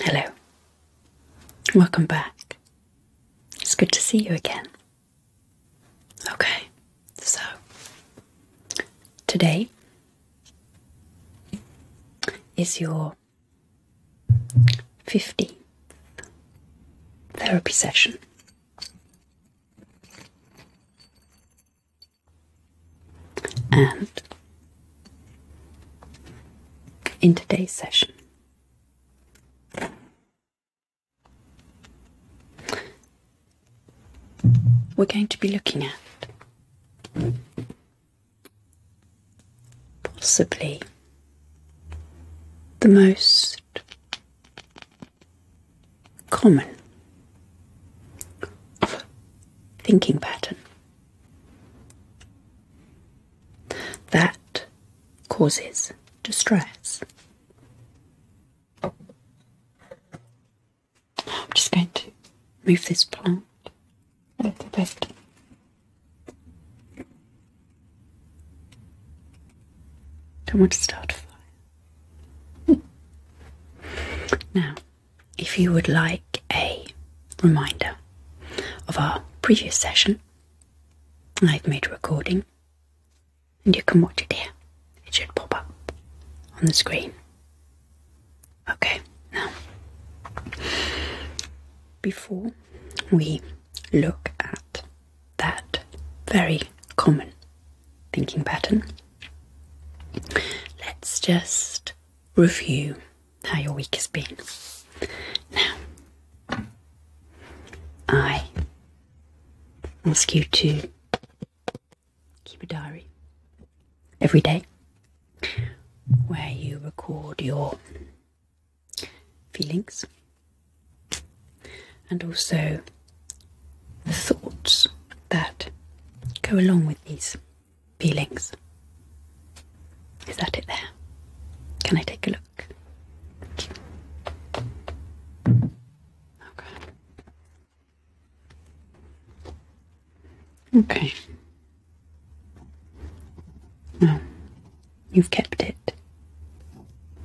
Hello. Welcome back. It's good to see you again. Okay, so today is your 15th therapy session. And in today's session. We're going to be looking at possibly the most common thinking pattern that causes distress. I'm just going to move this plant a little bit. Don't want to start a fire. now, if you would like a reminder of our previous session, I've made a recording and you can watch it here. It should pop up on the screen. Okay, now, before we look at that very common thinking pattern, let's just review how your week has been. Now, I ask you to keep a diary every day where you record your feelings and also the thoughts that go along with these feelings. Is that it there? Can I take a look? Okay. Okay. Now, you've kept it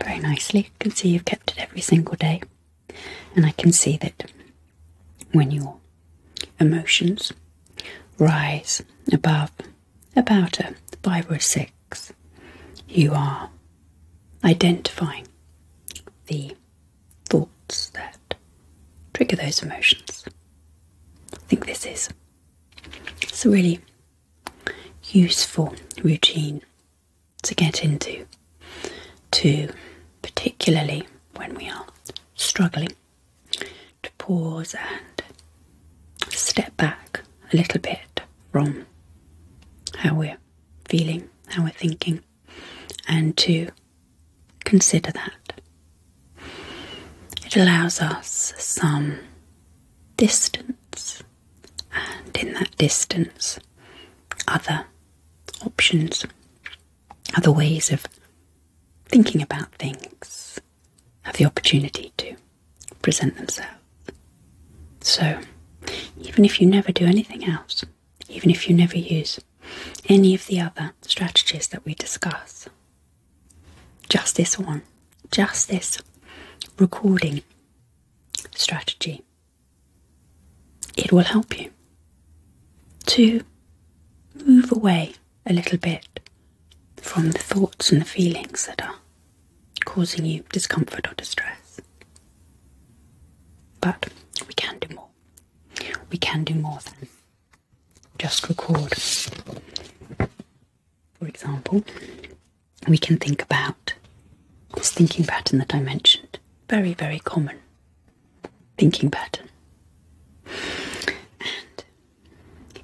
very nicely. I can see you've kept it every single day. And I can see that when you're Emotions rise above, about a five or six. You are identifying the thoughts that trigger those emotions. I think this is it's a really useful routine to get into to particularly when we are struggling to pause and step back a little bit from how we're feeling, how we're thinking, and to consider that. It allows us some distance, and in that distance, other options, other ways of thinking about things, have the opportunity to present themselves. So, even if you never do anything else, even if you never use any of the other strategies that we discuss, just this one, just this recording strategy, it will help you to move away a little bit from the thoughts and the feelings that are causing you discomfort or distress. But we can do more. We can do more than just record. For example, we can think about this thinking pattern that I mentioned. Very, very common thinking pattern.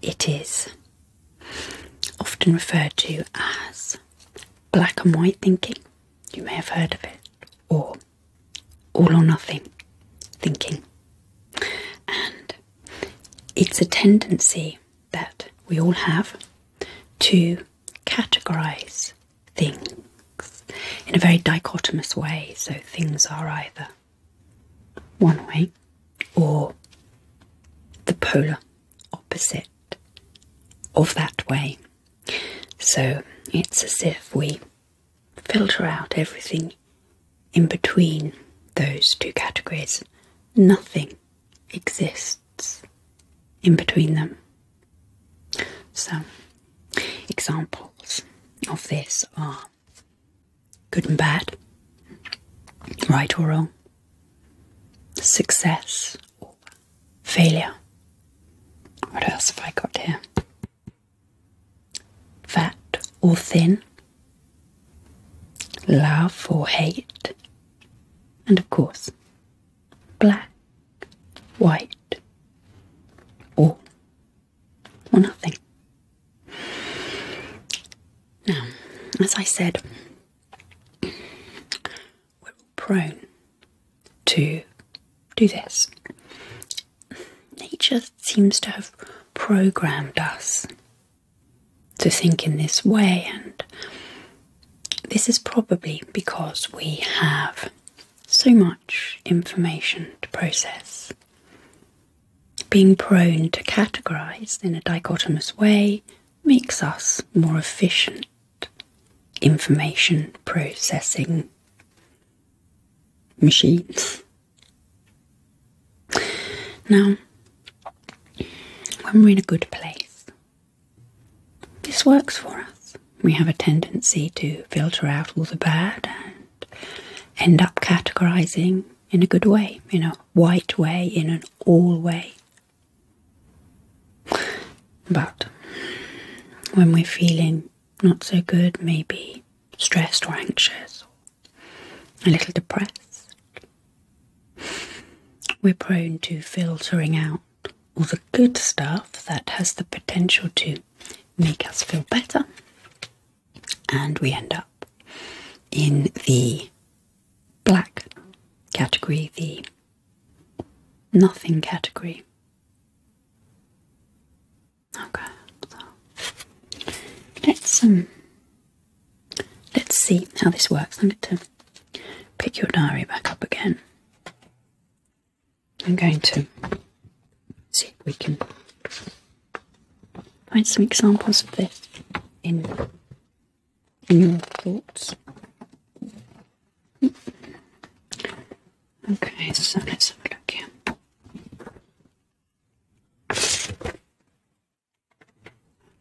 It is often referred to as black and white thinking, you may have heard of it, or all or nothing thinking. And it's a tendency that we all have to categorize things in a very dichotomous way. So things are either one way or the polar opposite of that way. So it's as if we filter out everything in between those two categories. Nothing exists in between them. So, examples of this are good and bad, right or wrong, success or failure. What else have I got here? Fat or thin, love or hate, and of course, black, white, all or nothing. Now, as I said, we're prone to do this. Nature seems to have programmed us to think in this way, and this is probably because we have so much information to process being prone to categorize in a dichotomous way makes us more efficient information processing machines. Now, when we're in a good place, this works for us. We have a tendency to filter out all the bad and end up categorizing in a good way, in a white way, in an all way. But when we're feeling not so good, maybe stressed or anxious, or a little depressed, we're prone to filtering out all the good stuff that has the potential to make us feel better and we end up in the black category, the nothing category. Okay, let's um, let's see how this works. I'm going to pick your diary back up again. I'm going to see if we can find some examples of this in, in your thoughts. Hmm. Okay, so let's have a look here.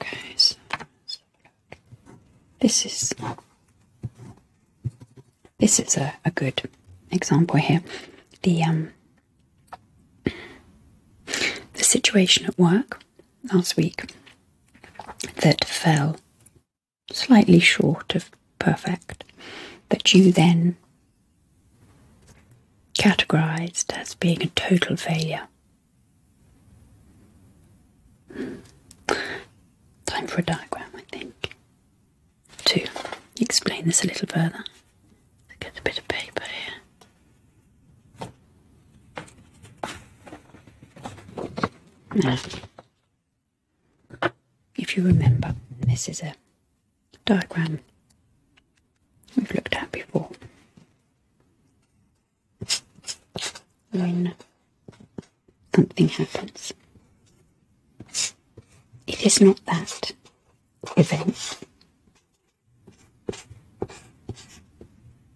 Okay, so This is this is a, a good example here. The um the situation at work last week that fell slightly short of perfect, that you then categorized as being a total failure. Time for a diagram, I think, to explain this a little further. Get a bit of paper here. Now, if you remember, this is a diagram we've looked at before. When something happens, it is not that event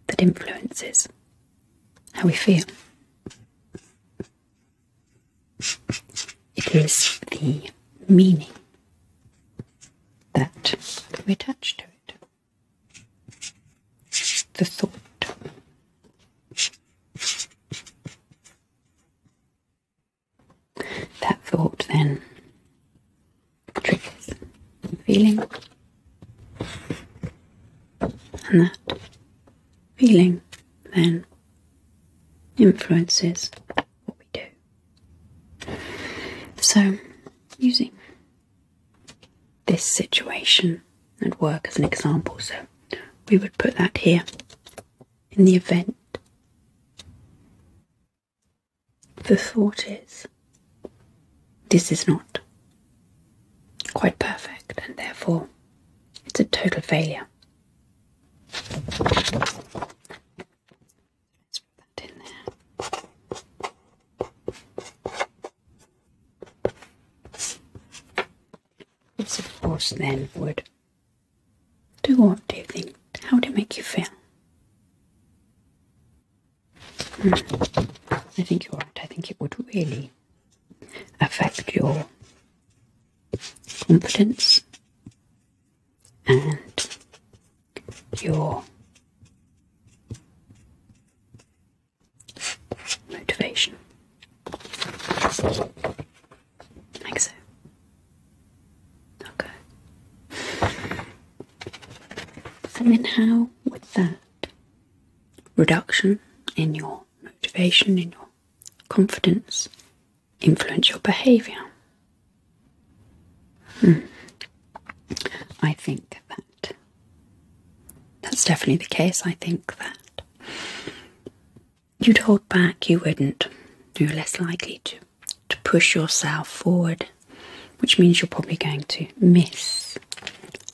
that influences how we feel. It is the meaning that we attach to it. The thought. That thought then triggers and feeling and that feeling then influences what we do. So using this situation at work as an example, so we would put that here in the event the thought is, this is not quite perfect, and therefore it's a total failure. let put that in there. This, of course, then would do what do you think? How would it make you feel? Hmm. I think you're I think it would really affect your confidence and your motivation. Like so. Okay. And then, how would that reduction in your motivation, in your confidence, influence your behavior? Hmm. I think that that's definitely the case. I think that you'd hold back, you wouldn't, you're less likely to to push yourself forward, which means you're probably going to miss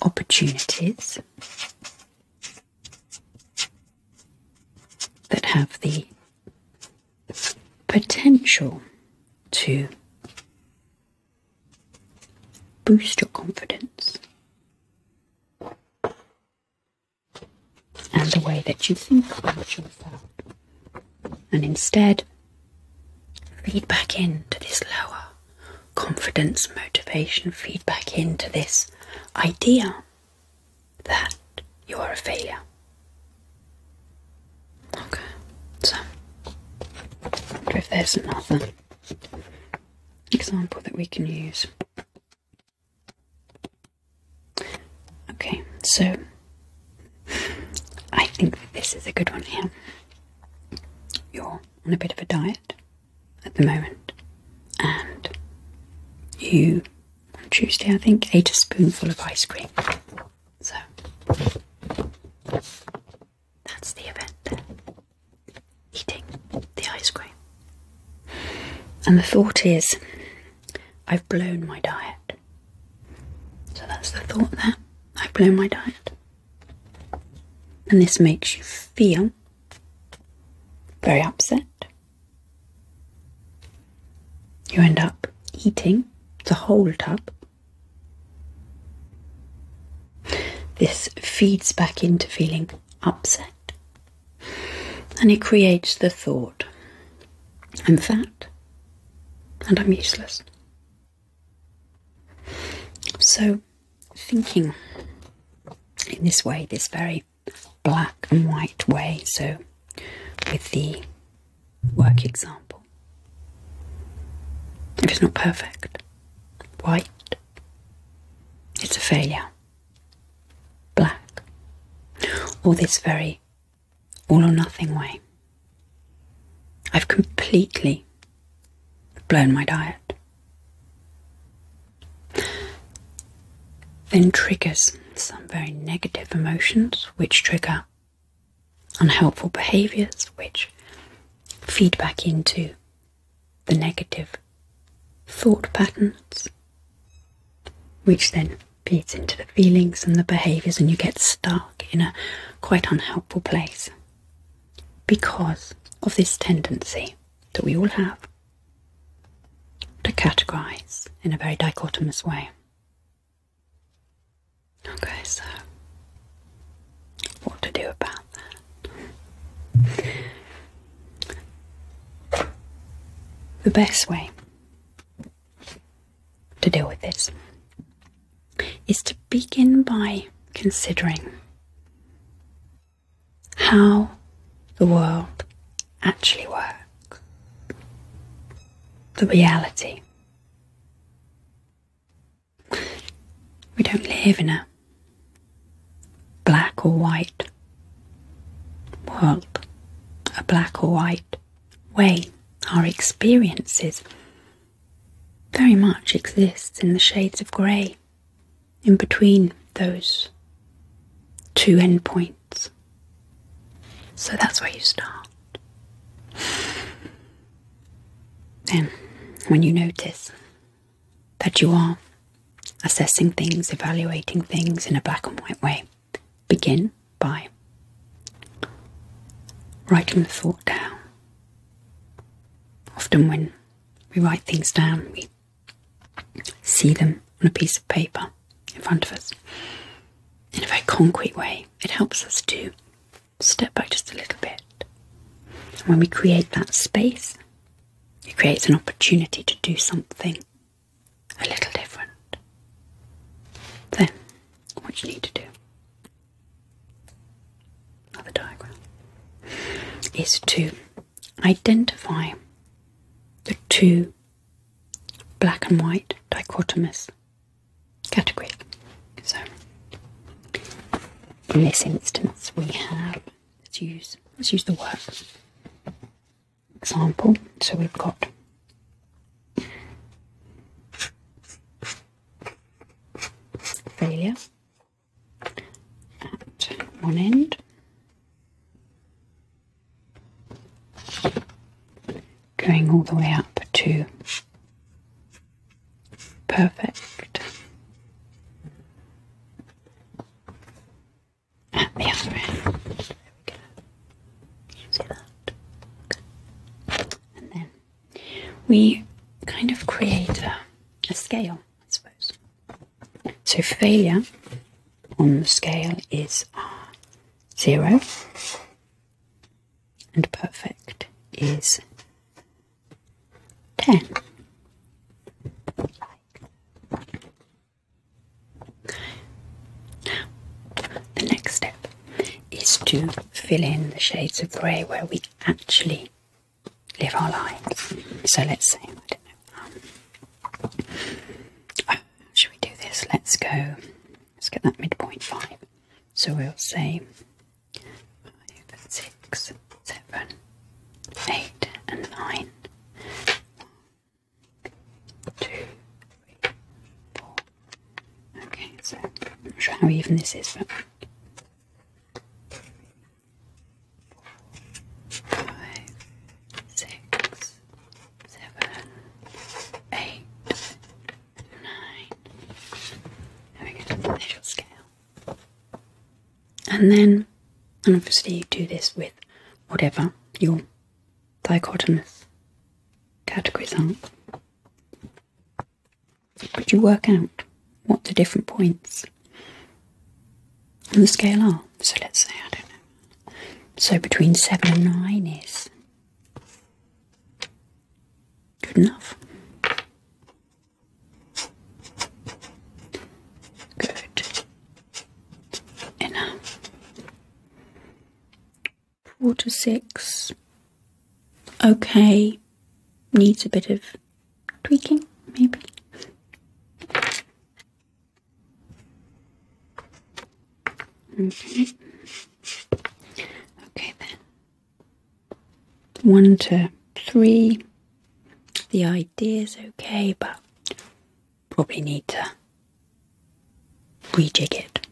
opportunities that have the potential to boost your confidence and the way that you think about yourself. And instead, Feed back into this lower confidence, motivation, feed back into this idea that you are a failure. Okay, so if there's another example that we can use. Okay, so I think that this is a good one here. You're on a bit of a diet at the moment, and you, on Tuesday, I think, ate a spoonful of ice cream. So that's the event there. Eating the ice cream. And the thought is, I've blown my diet. So that's the thought there. i blow my diet. And this makes you feel very upset. You end up eating the whole tub. This feeds back into feeling upset and it creates the thought I'm fat and I'm useless. So, thinking in this way, this very black and white way, so with the work example, if it's not perfect, white, it's a failure. Black, or this very all or nothing way. I've completely blown my diet. Then triggers some very negative emotions, which trigger unhelpful behaviors, which feed back into the negative thought patterns, which then feeds into the feelings and the behaviors, and you get Dark in a quite unhelpful place because of this tendency that we all have to categorize in a very dichotomous way. Okay, so what to do about that? The best way to deal with this is to begin by considering how the world actually works, the reality. We don't live in a black or white world, a black or white way. Our experiences very much exists in the shades of grey in between those two endpoints. So that's where you start. Then, when you notice that you are assessing things, evaluating things in a black and white way, begin by writing the thought down Often, when we write things down, we see them on a piece of paper in front of us in a very concrete way. It helps us to step back just a little bit. when we create that space, it creates an opportunity to do something a little different. than what you need to do another diagram, is to identify the two black and white dichotomous category. So, in this instance, we have let's use let's use the work example. So we've got failure at one end going all the way up to perfect at the other end. There we go. see that? And then we kind of create a, scale, I suppose. So failure on the scale is uh, zero, and perfect is ten. The next step is to fill in the shades of grey where we actually live our lives. So let's see. Oh, should we do this? Let's go, let's get that midpoint 5. So we'll say 5, 6, 7, and 9. One, two, three, four, Okay, so I'm not sure how even this is, but five, six, seven, eight, nine. There we go. There's scale. And then, and obviously, you do this with whatever your dichotomous categories are. Could you work out what the different points on the scale are? So let's say, I don't know. So between 7 and 9 is good enough. Good enough. Quarter six okay, needs a bit of tweaking, maybe. Okay. Mm-hmm. Okay then. One to three. The idea's okay, but probably need to rejig it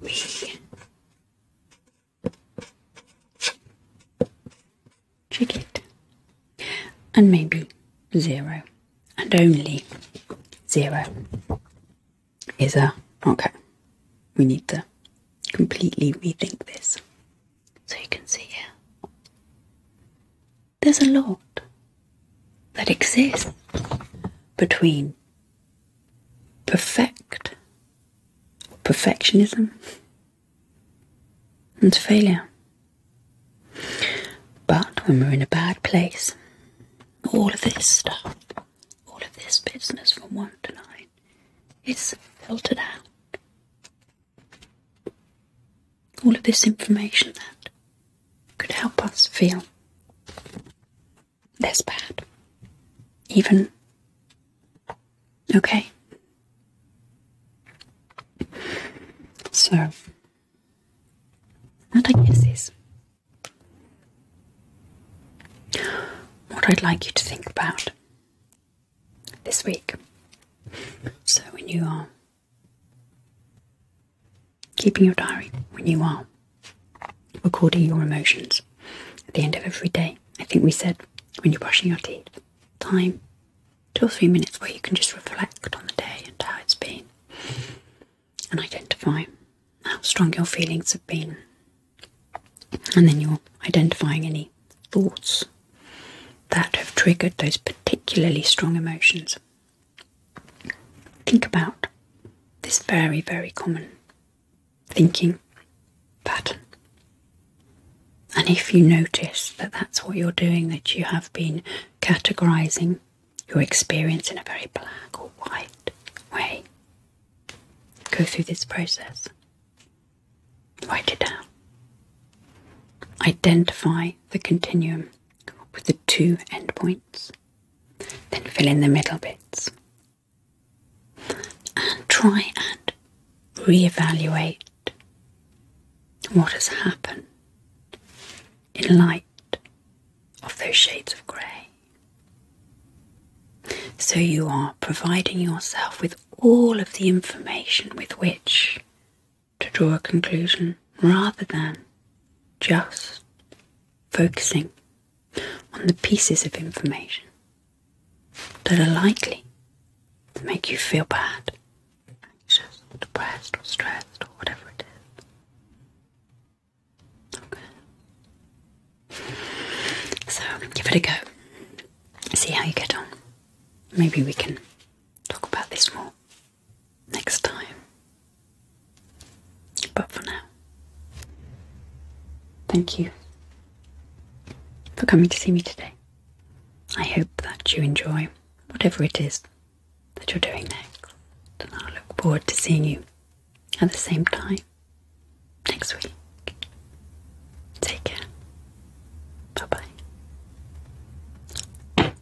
we check and maybe zero and only zero is a okay we need to completely rethink this so you can see here there's a lot that exists between perfect, perfectionism, and failure. But when we're in a bad place, all of this stuff, all of this business from 1 to 9, is filtered out. All of this information that could help us feel less bad, even okay. So, that I guess is what I'd like you to think about this week. So, when you are keeping your diary when you are recording your emotions at the end of every day. I think we said when you're brushing your teeth, time two or three minutes where you can just reflect on the day and how it's been and identify how strong your feelings have been. And then you're identifying any thoughts that have triggered those particularly strong emotions. Think about this very, very common thinking pattern. And if you notice that that's what you're doing, that you have been categorizing your experience in a very black or white way, go through this process. Write it down. Identify the continuum with the two endpoints. Then fill in the middle bits. And try and re-evaluate what has happened in light of those shades of grey. So you are providing yourself with all of the information with which to draw a conclusion rather than just focusing on the pieces of information that are likely to make you feel bad, depressed, or stressed, or whatever it is. Okay. So give it a go. See how you get on. Maybe we can talk about this more next time. But for now, thank you for coming to see me today. I hope that you enjoy whatever it is that you're doing next, and I look forward to seeing you at the same time next week. Take care. Bye bye.